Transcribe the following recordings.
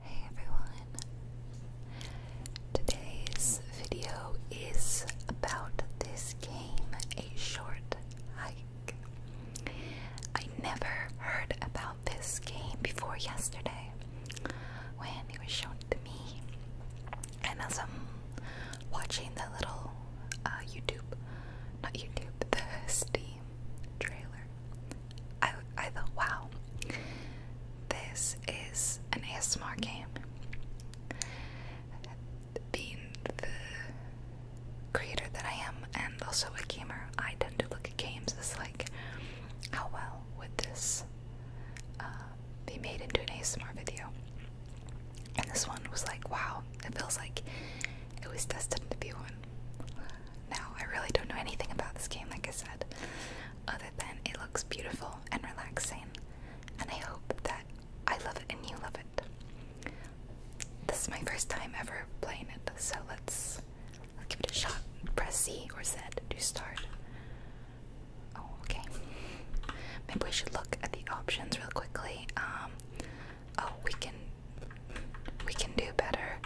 Hey everyone! Today's video is about this game, A Short Hike. I never heard about this game before yesterday when it was shown to me. And as I'm watching the little uh, YouTube, not YouTube, the Steam trailer, I, I thought, wow, this is an ASMR game. Being the creator that I am and also a gamer, I tend to look at games as like, how well would this uh, be made into an ASMR video? And this one was like, wow, it feels like it was destined to be one now. I really don't know anything about this game, like I said, other than it looks beautiful and relaxing, and I hope that I love it and you love it. This is my first time ever playing it, so let's, let's give it a shot. Press C or Z to start. Oh, okay. Maybe we should look at the options real quickly. Um, oh, we can we can do better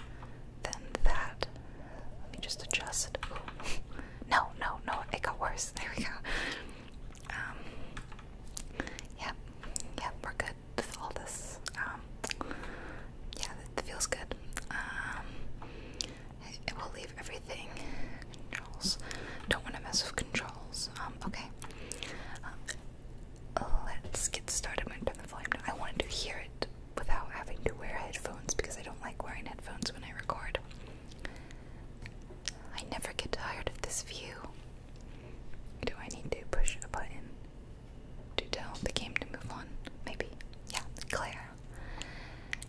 than that. Let me just adjust. Ooh. No, no, no, it got worse. There we go. Um, yep, yep, we're good with all this. Um, yeah, that feels good. Um, it, will leave everything. Controls. Don't want to mess with controls. Um, okay. Um, let's get started. i the volume I wanted to hear it without having to wear headphones because I don't like wearing headphones when I record. I never get tired of this view. Do I need to push a button to tell the game to move on? Maybe. Yeah, Claire.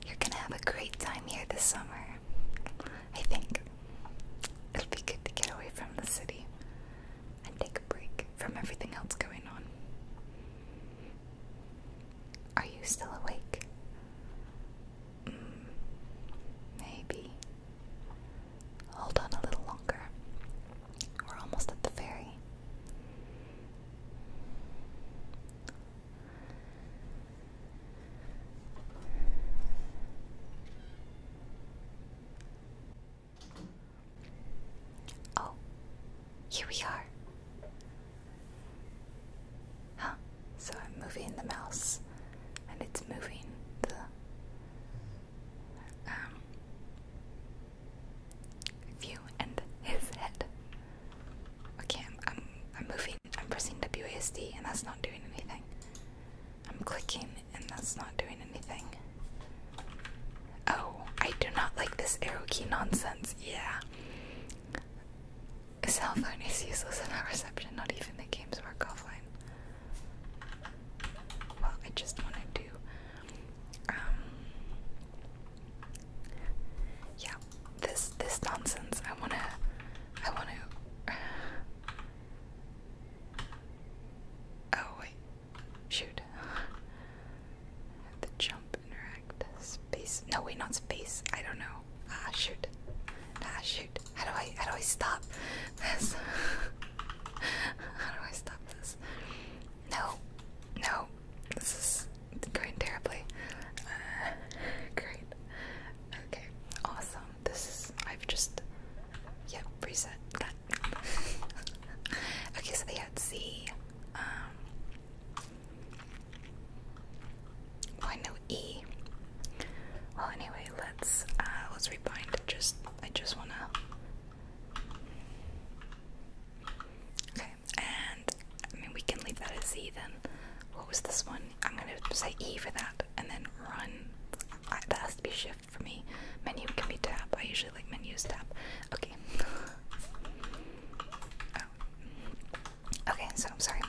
You're gonna have a great time here this summer. I think it'll be good to get away from the city and take a break from everything else going on. Are you still awake? Mm, maybe. Hold on a little longer. We're almost at the ferry. Oh, here we are. Huh, so I'm moving the mouse and it's moving the um view and his head. Okay, I'm I'm I'm moving I'm pressing WASD and that's not doing anything. I'm clicking and that's not doing anything. Oh, I do not like this arrow key nonsense. Yeah. A cell phone is useless in our reception, not even the games work offline. Well, I just want to do um Yeah, this this nonsense. I wanna I wanna Oh wait. Shoot. the jump interact. Space. No, way, not space. I don't know. Ah, shoot. Ah, shoot. How do I, how do I stop this? how do I stop this? No. No. This is going terribly. Uh, great. Okay. Awesome. This is, I've just, yep, reset okay, so they had C. Um, I know E. Well, anyway, let's uh, let's rebind. Just I just wanna. Okay, and I mean we can leave that as Z then. What was this one? I'm gonna say E for that, and then run. I, that has to be shift for me. Menu can be tab. I usually like menus tab. Okay. oh. Okay, so I'm sorry.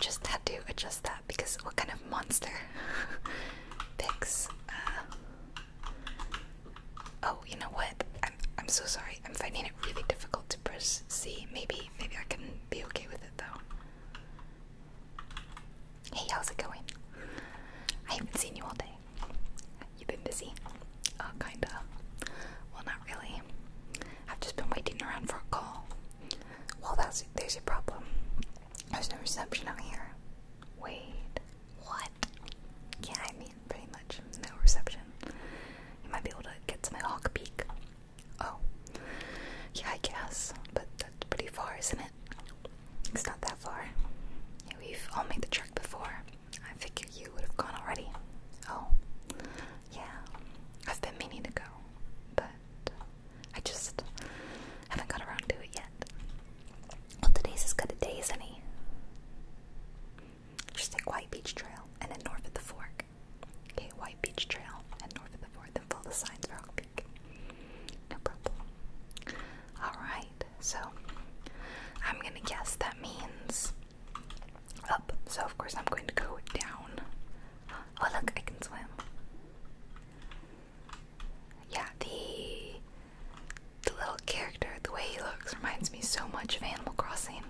Just had to adjust that because what kind of monster picks? Uh, oh, you know what? I'm I'm so sorry. I'm finding it really difficult to press C. Maybe maybe I can be okay with it though. Hey, how's it going? I haven't seen you all day. You've been busy? Uh, kinda. Well, not really. I've just been waiting around for a call. Well, that's there's your problem. There's no reception out here. Wait, what? Yeah, I mean, pretty much no reception. You might be able to get to my hawk peak. Oh, yeah, I guess, but that's pretty far, isn't it? It's not that far. we've all made the trek before. I figure you would have gone already. Oh, yeah. I've been meaning to go, but I just haven't got around to it yet. Well, today's as good a day as any. Just take White Beach Trail and then north at the fork. Okay, White Beach Trail and north at the fork, then follow the signs for Hawk Peak. No problem. Alright. So I'm gonna guess that means up. So of course I'm going to go down. Oh look, I can swim. Yeah, the the little character, the way he looks, reminds me so much of Animal Crossing.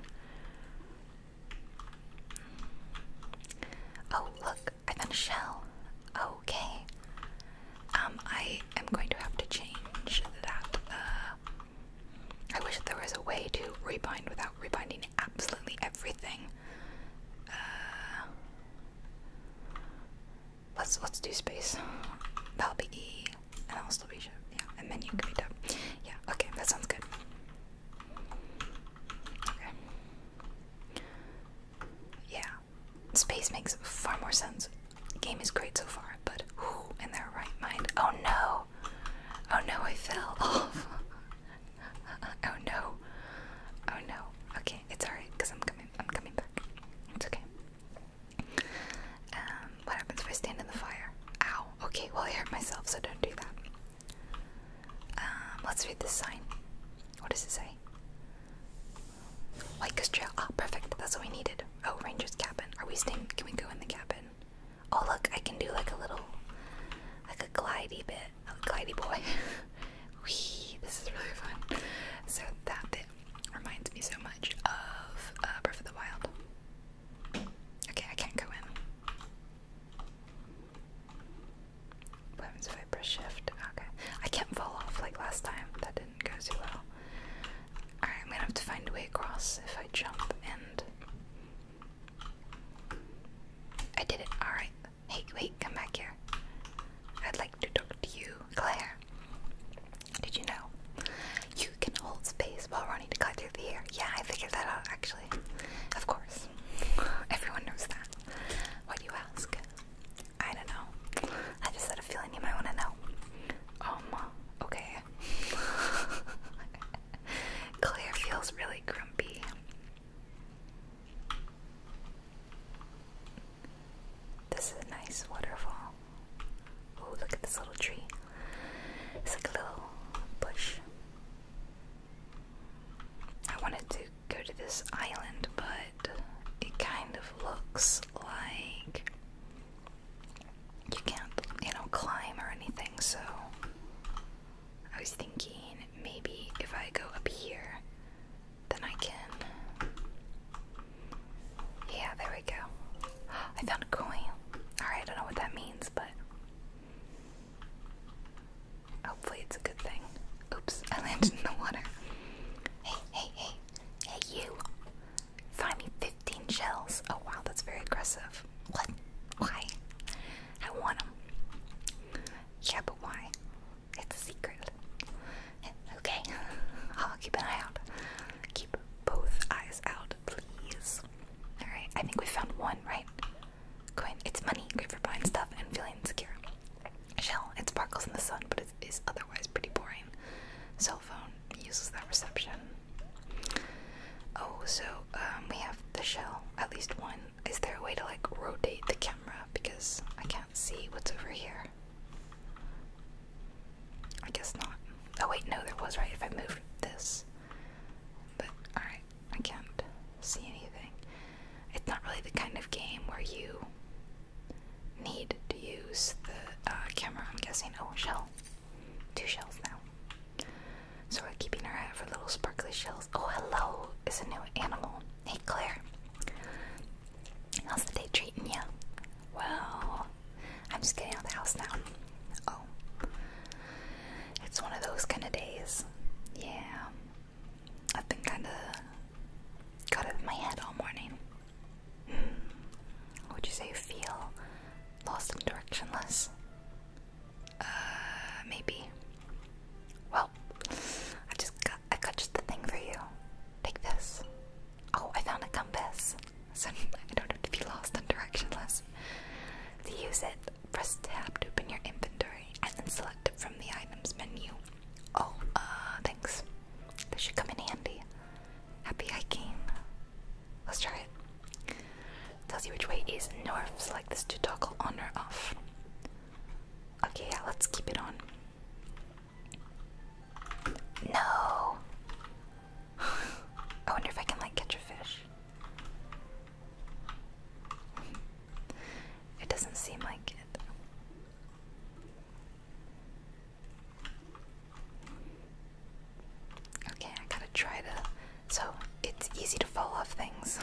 Oh, look, I found a shell. Okay. Um, I am going to have to change that. Uh, I wish there was a way to rebind without rebinding absolutely everything. Uh, let's let's do space. That'll be E, and I'll still be shift. Yeah, and then you can be done. Yeah. Okay, that sounds good. Okay. Yeah, space makes far more sense. game is great so far, but in their right mind? Oh no! Oh no, I fell oh no! Oh no! Okay, it's alright because I'm coming. I'm coming back. It's okay. Um, what happens if I stand in the fire? Ow. Okay, well I hurt myself, so don't do that. Um, let's read this sign. What does it say? White Coast Trail. Ah, perfect. That's what we needed. Oh, Ranger's cabin. Are we staying? Can we go in the cabin? Oh, look, I can do like a little, like a glidy bit. A glidey boy. Wee, this is really fun. So that bit reminds me so much of uh, Breath of the Wild. Okay, I can't go in. I press shift? Okay. I can't fall off like last time. That didn't go too well. Alright, I'm gonna have to find a way across if I jump and. I did it. Alright. Hey, wait, come back here. I'd like to talk to you, Claire. Did you know? You can hold space while running to cut through the air. Yeah, I figured that out actually. Of course. Everyone knows that. Why do you ask? I don't know. I just had a feeling you might want to know. Um, okay. Claire feels really grumpy. This is a nice waterfall. Oh, look at this little tree. It's like a little bush. I wanted to go to this island, but it, kind of looks like you can't, you know, climb or anything. So I was thinking maybe if I go up here, then I can. Yeah, there we go. I found a coin. Alright, I don't know what that means, but. Hopefully, it's a good thing. Oops, I landed in the water. Hey, hey, hey, Hey, you! Find me 15 shells. Oh, wow, that's very aggressive. What? Why? I want them. Yeah, but why? It's a secret. Okay, I'll keep an eye out. Keep both eyes out, please. Alright, I think we found one, right? Coin. It's money. Great for buying stuff and feeling insecure shell. It sparkles in the sun, but it is otherwise pretty boring. Cell phone uses that reception. Oh, so um, we have the shell, at least one. Is there a way to like rotate the camera? Because I can't see what's over here. I guess not. Oh, wait, no, there was, right? If I move this. But, alright, I can't see anything. It's not really the kind of game where you need to use the uh, camera, I'm guessing. Oh, shell. Two shells now. So we're keeping our eye for little sparkly shells. Oh, hello! It's a new animal. Hey, Claire. How's the day treating you? Well, I'm just getting out of the house now. Oh. It's one of those kind of days. Yeah. I've been kind of got it in my head all morning. How hmm. would you say you feel lost and directionless? Uh, maybe. Well, I just got I got just the thing for you. Take this. Oh, I found a compass. So I don't have to be lost and directionless. To use it, press tab to open your inventory and then select it from the items menu. Oh, uh, thanks. This should come in handy. Happy hiking. Let's try it. Tells you which way is north. Select this to toggle on or off. Okay, yeah, let's keep it on. No. I wonder if I can like catch a fish. It doesn't seem like it. Okay, I gotta try to. So it's easy to fall off things.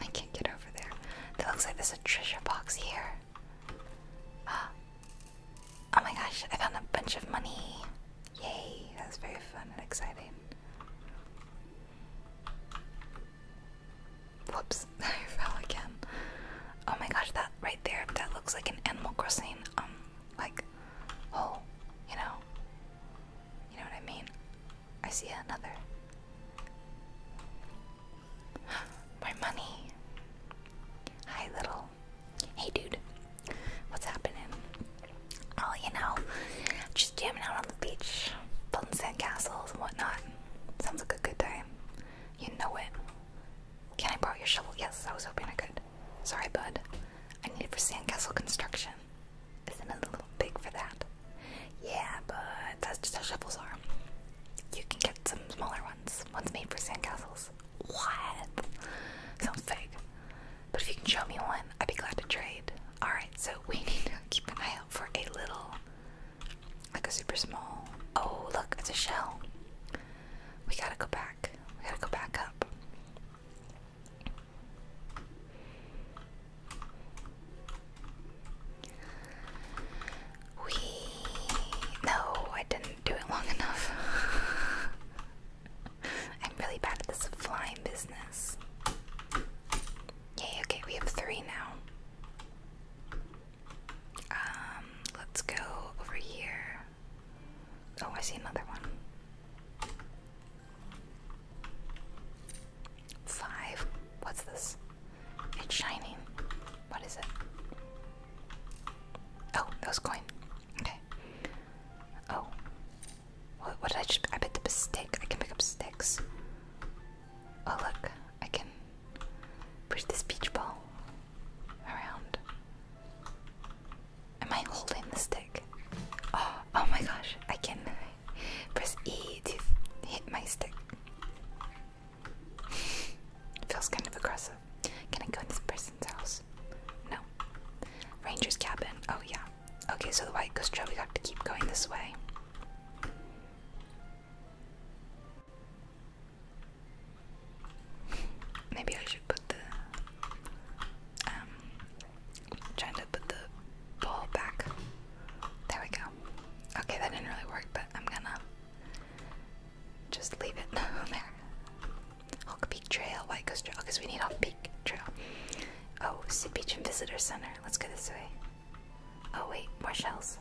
I can't get over there. That looks like there's a treasure box here. Ah. Oh my gosh, I found a bunch of money. Yay, that was very fun and exciting. Whoops, I fell again. Oh my gosh, that right there, that looks like an Animal Crossing, um, like, hole, you know? You know what I mean? I see another. My money. Hi, little. Hey, dude. What's happening? Oh, you know, jamming out on the beach, building sandcastles and whatnot. Sounds like a good time. You know it. Can I borrow your shovel? Yes, I was hoping I could. Sorry, bud. I need it for sandcastle construction. Isn't it a little big for that? Yeah, but that's just how shovels are. You can get some smaller ones, ones made for sandcastles. What? Sounds fake. But if you can show me one, I'd be glad to trade. Alright, so we need to keep an eye out for a little, like a super small. Oh, look, it's a shell. We gotta go back. We gotta go back up. We. No, I didn't do it long enough. I'm really bad at this flying business. Yay, okay, we have three now. Um, let's go over here. Oh, I see another one. Five. What's this? It's shining. What is it? Oh, that was Okay. Oh, what, did I just? I picked up a stick. I can pick up sticks. Oh look, I can push this beach ball around. Am I holding the stick? Oh, oh my gosh! I can press E to hit my stick. Feels kind of aggressive. Can I go in this person's house? No. Ranger's cabin. Oh yeah. Okay, so the white goes trail, we have to keep going this way. Maybe I should put the um trying to put the ball back. There we go. Okay, that didn't really work, but I'm gonna just leave it there. Hawk Peak Trail, White Coast Trail, because we need Hawk Peak Trail. Oh, Sea Beach and Visitor Center. Let's go this way. Oh wait, more shells.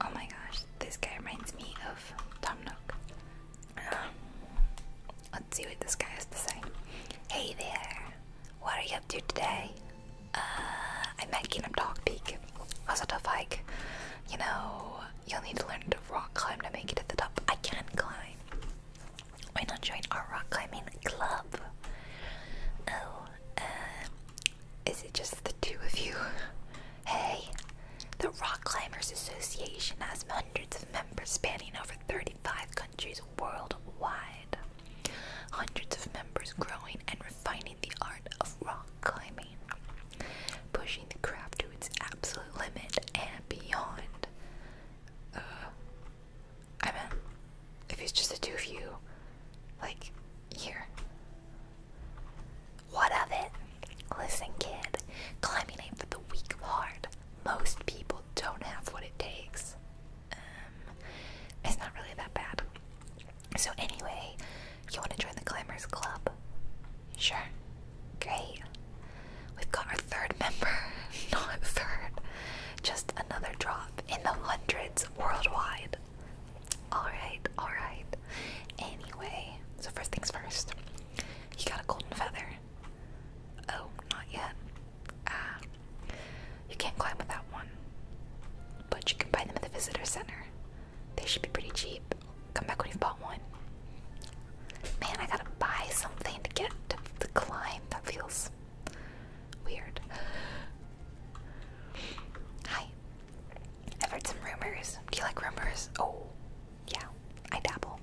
Oh my gosh, this guy reminds me of Tom Nook. Um, let's see what this guy has to say. Hey there, what are you up to today? Uh, I met Kingdom Dog Peak. Was a tough hike. You know, you'll need to learn to rock climb to make it to the top. I can climb. Why not join our rock climbing club? Oh, uh, is it just the two of you? Hey, the Rock Climbers Association has hundreds of members spanning over 35 countries worldwide. Hundreds of members growing and refining the art of rock climbing, pushing the craft to its absolute limit and beyond. Uh, I meant, if it's just the two of you, like, here. What of it? Listen, kid, climbing ain't for the weak heart. Most people don't have what it takes. Um, it's not really that bad. So, anyway, you want to join the Climbers Club? Sure. Great. We've got our third member, not third, just another drop in the hundreds worldwide. Alright, alright. Anyway, so first things first, you got a golden feather. Oh, not yet. Ah, you can't climb without one, but you can buy them at the visitor center. They should be pretty cheap. Come back when you've bought one. Man, I gotta buy something to get to the climb. That feels weird. Hi. I've heard some rumors. Do you like rumors? Oh, yeah. I dabble.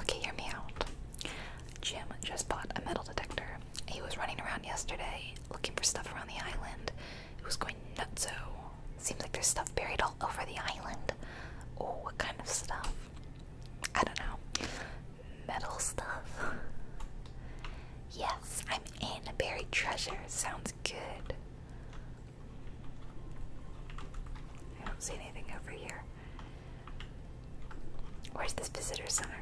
Okay, hear me out. Jim just bought a metal detector. He was running around yesterday looking for stuff around the island. It was going nuts. So Seems like there's stuff buried all over the island. Oh, what kind of stuff? I don't know, metal stuff. yes, I'm in a buried treasure. Sounds good. I don't see anything over here. Where's this visitor center?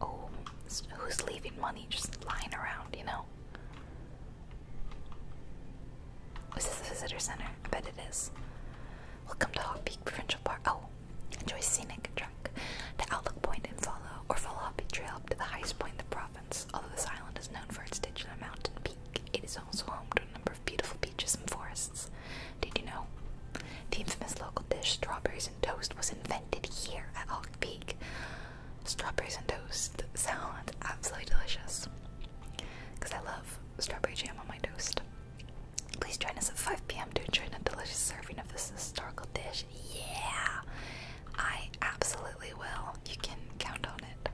Oh, who's leaving money just lying around, you know? Is this the visitor center? I bet it is. Welcome to Hot Peak Provincial Park. Oh, enjoy scenic truck. The Outlook Point and follow or follow Hot Peak Trail up to the highest point in the province. Although this island is known for its digital mountain peak, it is also home to a number of beautiful beaches and forests. Did you know? The infamous local dish, strawberries and toast, was invented here at Hawk Peak. Strawberries and toast sounds absolutely delicious. Because I love strawberry jam on my toast. Please join us at 5 p.m. to enjoy a delicious serving of this historical dish. Yeah! I absolutely will. You can count on it.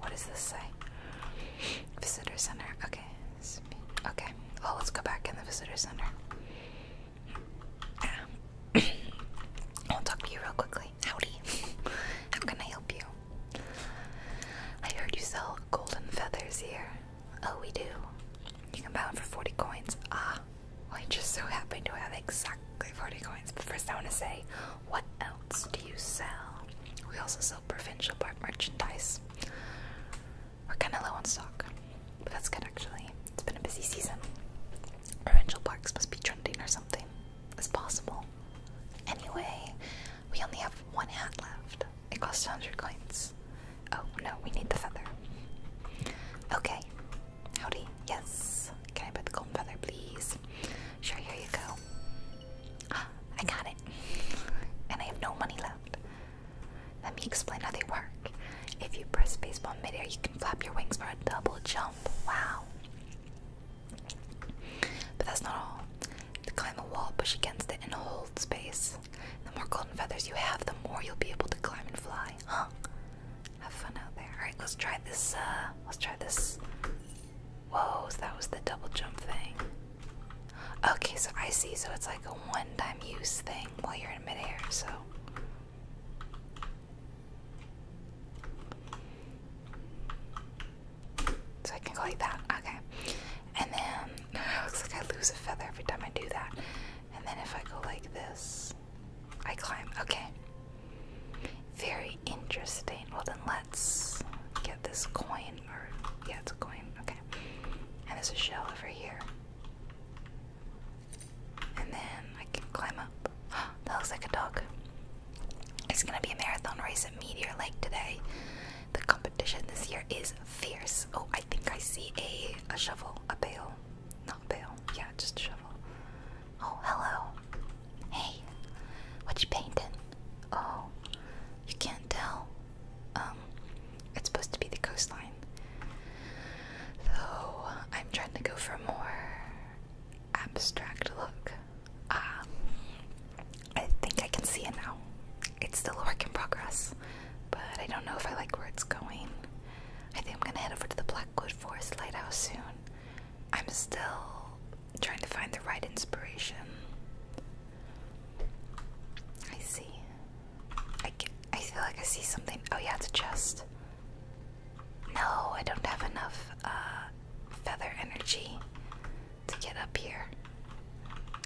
What does this say? Visitor center. Okay. Okay. Well, oh, let's go back in the visitor center. I'll talk to you real quickly. Howdy. How can I help you? I heard you sell golden feathers here. Oh, we do. You can buy them for 40 coins. Ah, I just so happen to have exactly 40 coins. But first, I want to say, what else do you sell? We also sell provincial park merchandise. We're kind of low on stock. But that's good actually. It's been a busy season. Orangel Parks must be trending or something. It's possible. Anyway, we only have one hat left. It costs 100 coins. Oh no, we need the feather. Okay. Howdy. Yes. Can I put the golden feather, please? Sure, here you go. I got it. And I have no money left. Let me explain how they work. If you press baseball midair, you can flap your wings for a double jump. Wow. But that's not all. To climb a wall, push against it and hold space. The more golden feathers you have, the more you'll be able to climb and fly. Huh? Have fun out there. Alright, let's try this, uh, let's try this. Whoa, that was the double jump thing. Okay, so I see, so it's like a one-time use thing while you're in midair, so so I can go like that. Okay. And then looks like I lose a feather every time I do that. And then if I go like this, I climb. Okay. Very interesting. Well, then let's get this coin. Or, yeah, a coin. Okay. And there's a shell over here. And then I can climb up. that looks like a dog. It's gonna be a marathon race at Meteor Lake today. The competition this year is fierce. Oh, I think I see a, a shovel, a bail, Not a pail, yeah, just a shovel. Oh, hello. Hey, what you painting? Oh, you can't tell. Um, it's supposed to be the coastline. Though I'm trying to go for a more abstract look. Um, I think I can see it now. It's still a work in progress, but I don't know if I like where it's going. I think I'm gonna head over to the Blackwood Forest Lighthouse soon. I'm still trying to find the right inspiration. I see. I, I feel like I see something. Oh yeah, it's just. No, I don't have enough uh, feather energy to get up here.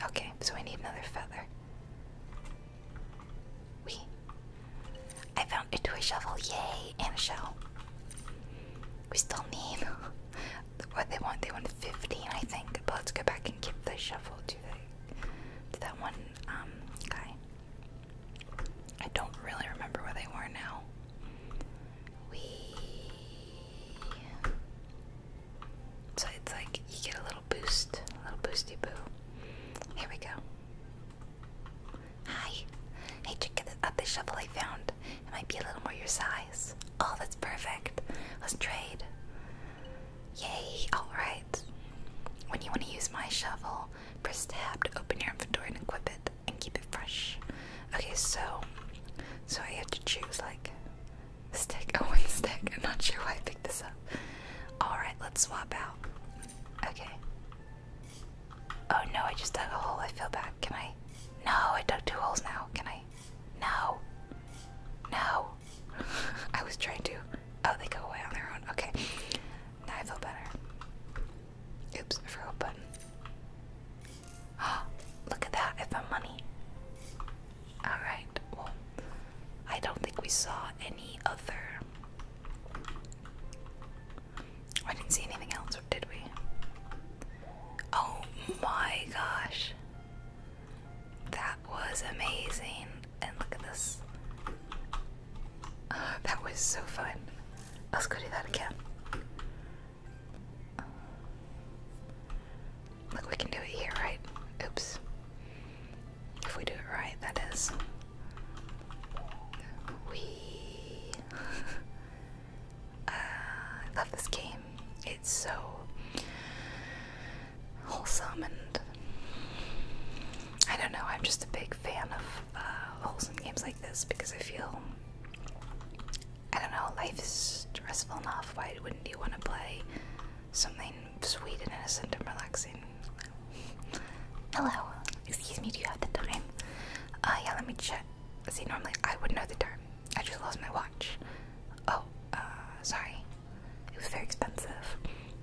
Okay, so I need another feather. We. I found a toy shovel, yay, and a shell. We still need what they want. They want 15, I think. But let's go back and give the shovel to the to that one um guy. I don't really remember where they were now. We. So it's like you get a little boost, a little boosty boo. Here we go. Hi. Hey, check out the shovel I found. It might be a little more your size. Oh, that's perfect. Let's trade. Yay! Alright. When you want to use my shovel, press tab to open your inventory and equip it and keep it fresh. Okay, so so I have to choose like stick or one stick. I'm not sure why I picked this up. Alright, let's swap out. Okay. Oh no, I just dug a hole. I fell back. Can I? No, I dug two holes now. Can I? No. No. I was trying to. Oh, they go away on their own. Okay. Now I feel better. Oops, I forgot a button. Oh, look at that. I found money. Alright, well, I don't think we saw any other. I didn't see anything else, did we? Oh my gosh. That was amazing and look at this. Ah, that was so fun. Let's go do that again. Uh, look, we can do it here, right? Oops. If we do it right, that is. We. Uh, I love this game. It's so wholesome and I don't know, I'm just a big fan of uh, wholesome games like this because I feel I don't know, life is stressful enough. Why wouldn't you want to play something sweet and innocent and relaxing? Hello, excuse me, do you have the time? Uh, yeah, let me check. See, normally I would know the time. I just lost my watch. Oh, uh, sorry. It was very expensive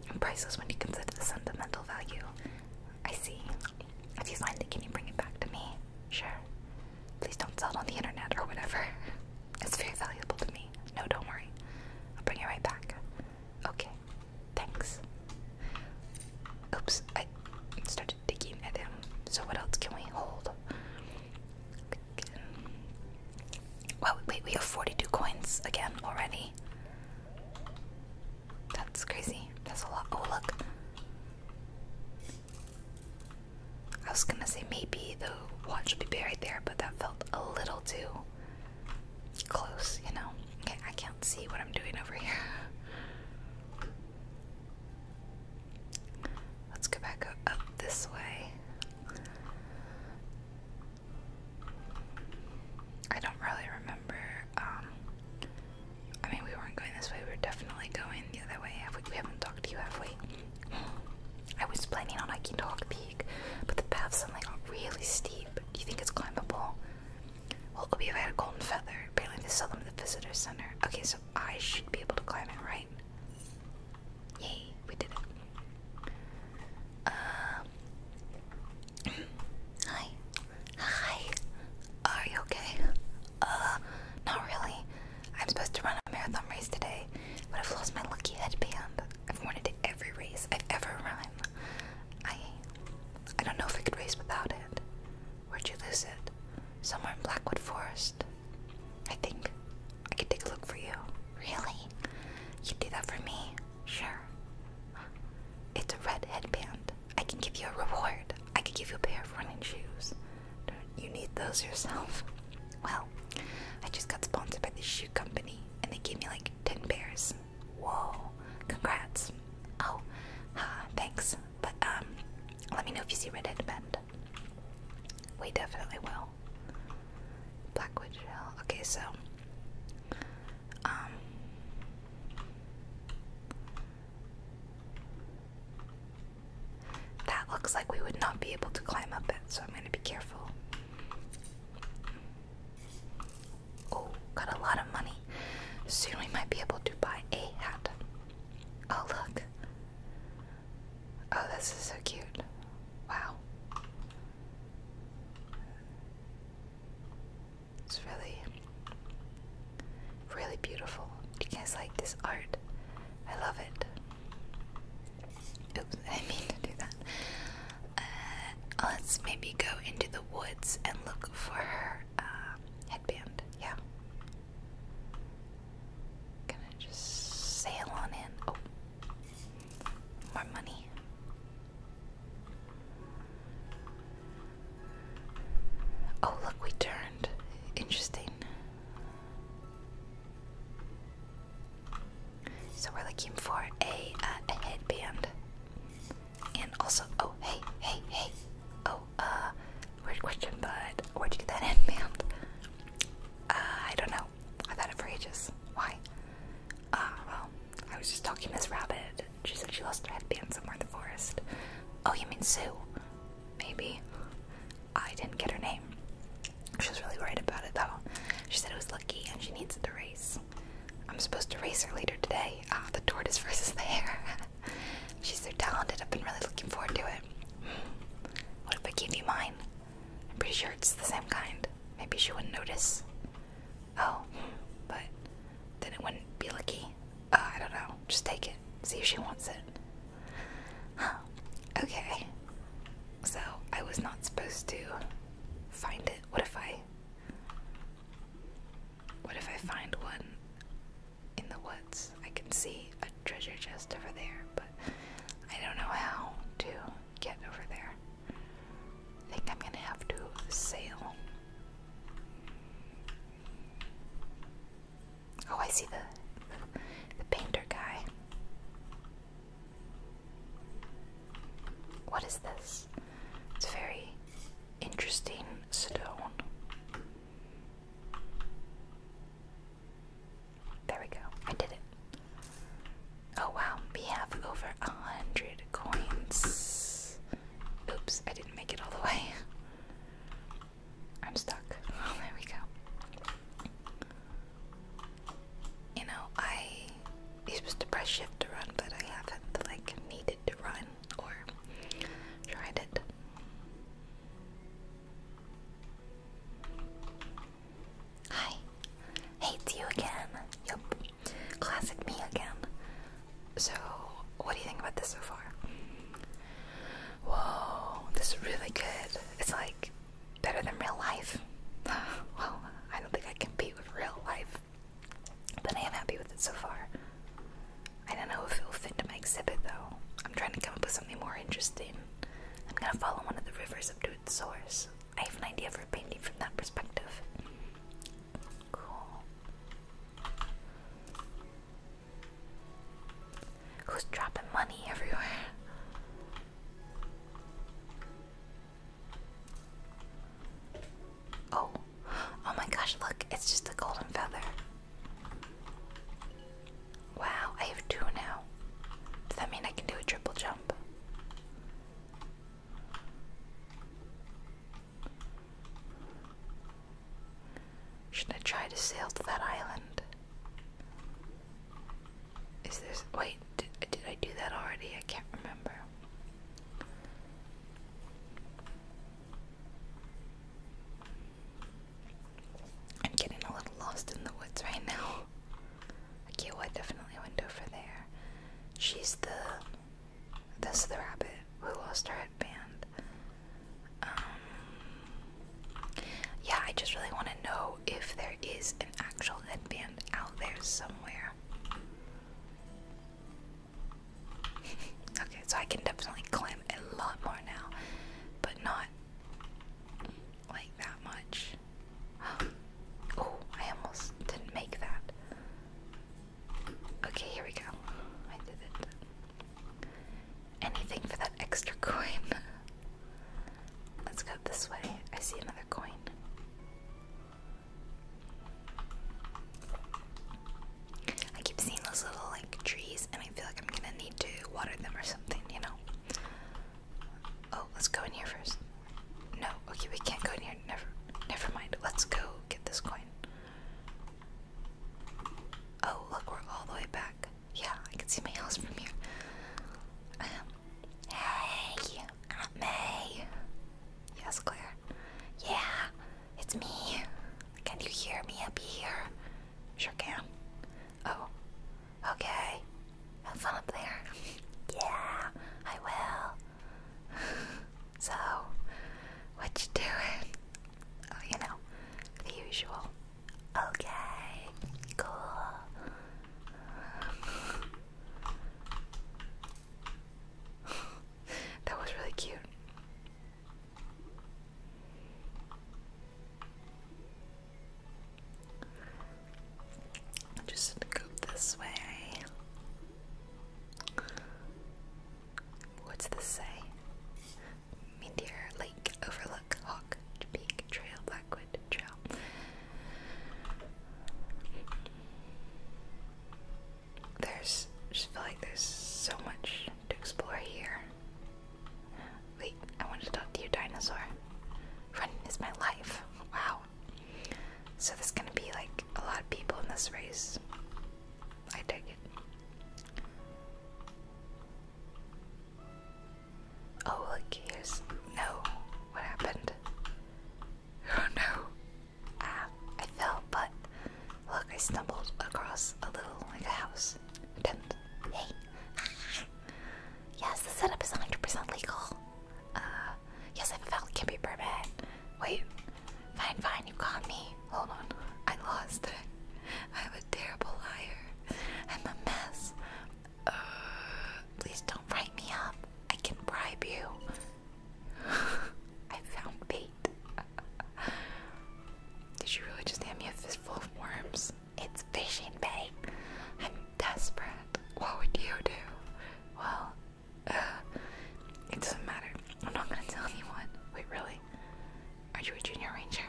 and priceless when you consider the sentimental value. I see. If you find it, can you bring it back to me? Sure. Please don't sell it on the internet or whatever. It's very valuable to me. No, don't worry. I'll bring it right back. Okay. Thanks. Oops, I started digging at him. So, what else can we hold? wait, we have 42 coins again already. That's crazy. That's a lot. Oh, look. I was gonna say maybe the watch should be buried there, but that felt a little too close, you know? Okay, I can't see what I'm doing over here. Let's go back up this way. I don't really remember. Um, I mean, we weren't going this way. We were definitely going the other way. we, haven't talked to you, have I was planning on hiking Dog Peak, but the path suddenly like really steep. Do you think it's climbable? Well, it'll be if had a golden feather. Apparently, they sell them at the visitor center. Okay, so I should be able to climb it, right? Yay, we did it. Uh, hi. Hi. Are you okay? Uh, not really. I'm supposed to run a marathon race today, but I've lost my lucky headband. I've worn it to every race I've ever run. I I don't know if I could race without it. Where'd you lose it? Somewhere in Blackwood Forest. I think. I can take a look for you. Really? You do that for me? Sure. It's a red headband. I can give you a reward. I could give you a pair of running shoes. Don't you need those yourself? Well, I just got sponsored by this shoe company and they gave me like 10 pairs. Whoa, congrats. Oh, uh, thanks. But um, let me know if you see red headband. We definitely will. Hill. Blackwood Hill. Okay, so um, that looks like we would not be able to climb up it, so I'm going to be careful. Oh, got a lot of money. Soon we might be able to buy a hat. Oh, look. Oh, this is so cute. Wow. It's really, really beautiful. You guys like this art? I love it. Oops, I mean to do that. Uh, let's maybe go into the woods and look for her uh, headband. Yeah. Gonna just sail on in. Oh. More money. Oh, look, we turned. Interesting. So we're looking for a, uh, headband. And also, oh, hey, hey, hey. Oh, uh, weird question, but where'd you get that headband? Uh, I don't know. I've had it for ages. Why? Uh, well, I was just talking to Miss Rabbit. She said she lost her headband somewhere in the forest. Oh, you mean Sue? Maybe. I didn't get her name. She was really worried about it, though. She said it was lucky and she needs it to race. I'm supposed to race her later today. Ah, the tortoise versus the hare. She's so talented. I've been really looking forward to it. Hmm. What if I give you mine? I'm pretty sure it's the same kind. Maybe she wouldn't notice. Oh, but then it wouldn't be lucky. Oh, I don't know. Just take it. See if she wants it. Okay. So I was not supposed to find it. What if I. What if I find one in the woods? I can see a treasure chest over there, but I don't know how to get over there. I think I'm gonna have to sail. Oh, I see the the painter guy. What is this? It's a very interesting stone. There we go. I did it. Oh wow, we have over a hundred coins. Oops, I didn't make it all the way. I'm stuck. Oh, there we go. You know, I was supposed to press shift to run, but I haven't like needed to run or tried it. Hi. Hates you again. Yep. Classic me again. So, what do you think about this so far? Whoa, this is really good. It's like better than real life. well, I don't think I can beat with real life. But I am happy with it so far. I don't know if it will fit into my exhibit though. I'm trying to come up with something more interesting. I'm gonna follow one of the rivers up to its source. I have an idea for a painting from that perspective. Cool. Who's dropping money everywhere? Oh, oh my gosh, look, it's just a golden feather. Wow, I have two now. Does that mean I can do a triple jump? Should I try to sail to that island? Is this. Wait, did, did I do that already? I can't remember. I'm getting a little lost in the woods right now. Okay, well I definitely wouldn't go there. She's the this is the rabbit who lost her headband. Um, yeah, I just really wanna know if there is an actual headband out there somewhere. okay, so I can definitely climb a lot more now, but not like that much. oh, I almost didn't make that. Okay, here we go. I did it. Anything for that extra coin. Let's go this way. I see another coin. I keep seeing those little like trees and I feel like I'm gonna need to water them or something, you know? Oh, let's go in here first. No, okay, we can't go in here. Never, never mind. Let's go get this coin. Oh, look, we're all the way back. Yeah, I can see my house from here. Um, hey, Aunt May. Yes, Claire. Yeah, it's me. Can you hear me up here? Sure can. Oh, okay. Have fun up there. yeah, I will. so, what you doing? Oh, you know, the usual. Okay, cool. that was really cute i just go this way. What's this say? Meteor Lake Overlook Hawk Peak Trail Blackwood Trail. There's just feel like there's so much to explore here. Wait, I want to talk to you, dinosaur. Running is my life. Wow. So this is gonna be like a lot of people in this race. I dig it. Oh look, here's no. What happened? Oh no. Ah, I fell, but look, I stumbled across a little like a house. Tent. Hey. Yes, the setup is 100% legal. Uh, yes, I have a valid can be Wait, fine, fine, you caught me. Hold on, I lost it. I'm a terrible liar. I'm a mess. Uh, please don't write me up. I can bribe you. I found bait. Did you really just hand me a fistful of worms? It's fishing bait. I'm desperate. What would you do? Well, uh, it doesn't matter. I'm not gonna tell anyone. Wait, really? Are you a junior ranger?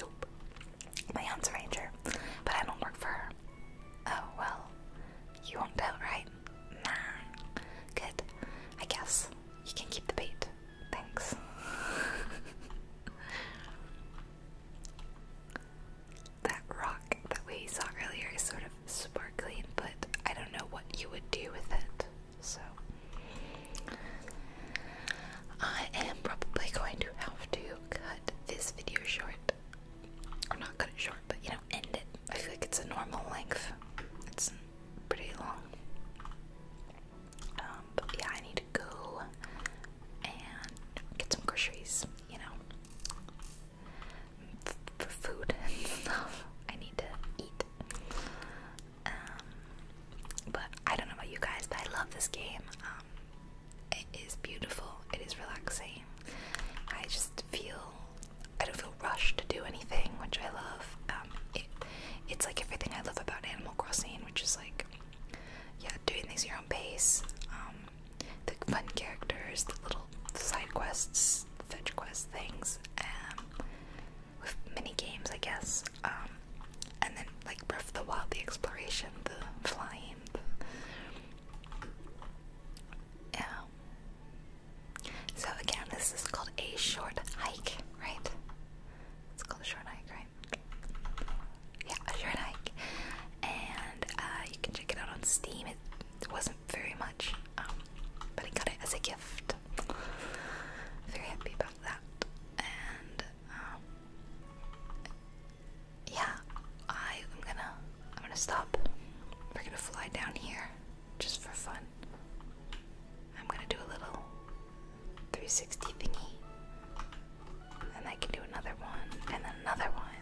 Nope. My aunt's a ranger, but I don't work for her. Oh, well, you won't tell, right? Nah. Good. I guess you can keep the bait. Thanks. That rock that we saw earlier is sort of sparkling, but I don't know what you would do with it. So, I am probably going to have to cut this video short. Or not cut it short, but you know, end it. I feel like it's a normal length, it's pretty long. Um, yeah, I need to go and get some groceries, you know, for food and stuff. I need to eat. Um, but I don't know about you guys, but I love this game. Um, it is beautiful. It is relaxing. I just feel I don't feel rushed to do anything, which I love. it's like everything I love about Animal Crossing, which is like yeah, doing things at your own pace. Um, the fun characters, the little side quests, fetch quest things, um, with mini games, I guess. Um, and then like Breath of the Wild, the exploration, the flying. Yeah. So again, this is called a short hike, right? It's called a short hike, right? Yeah, a short hike. And uh, you can check it out on Steam. It, wasn't very much, um, but I got it as a gift. Very happy about that. And um, yeah, I am gonna I'm gonna stop. We're gonna fly down here just for fun. I'm gonna do a little 360 thingy. And I can do another one, and another one,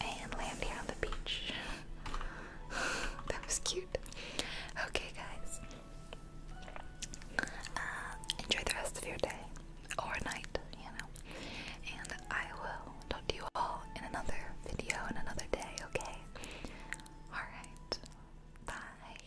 and land here on the beach. that was cute. Okay, guys. Uh, enjoy the rest of your day or night, you know. And I will talk to you all in another video in another day, okay? Alright. Bye.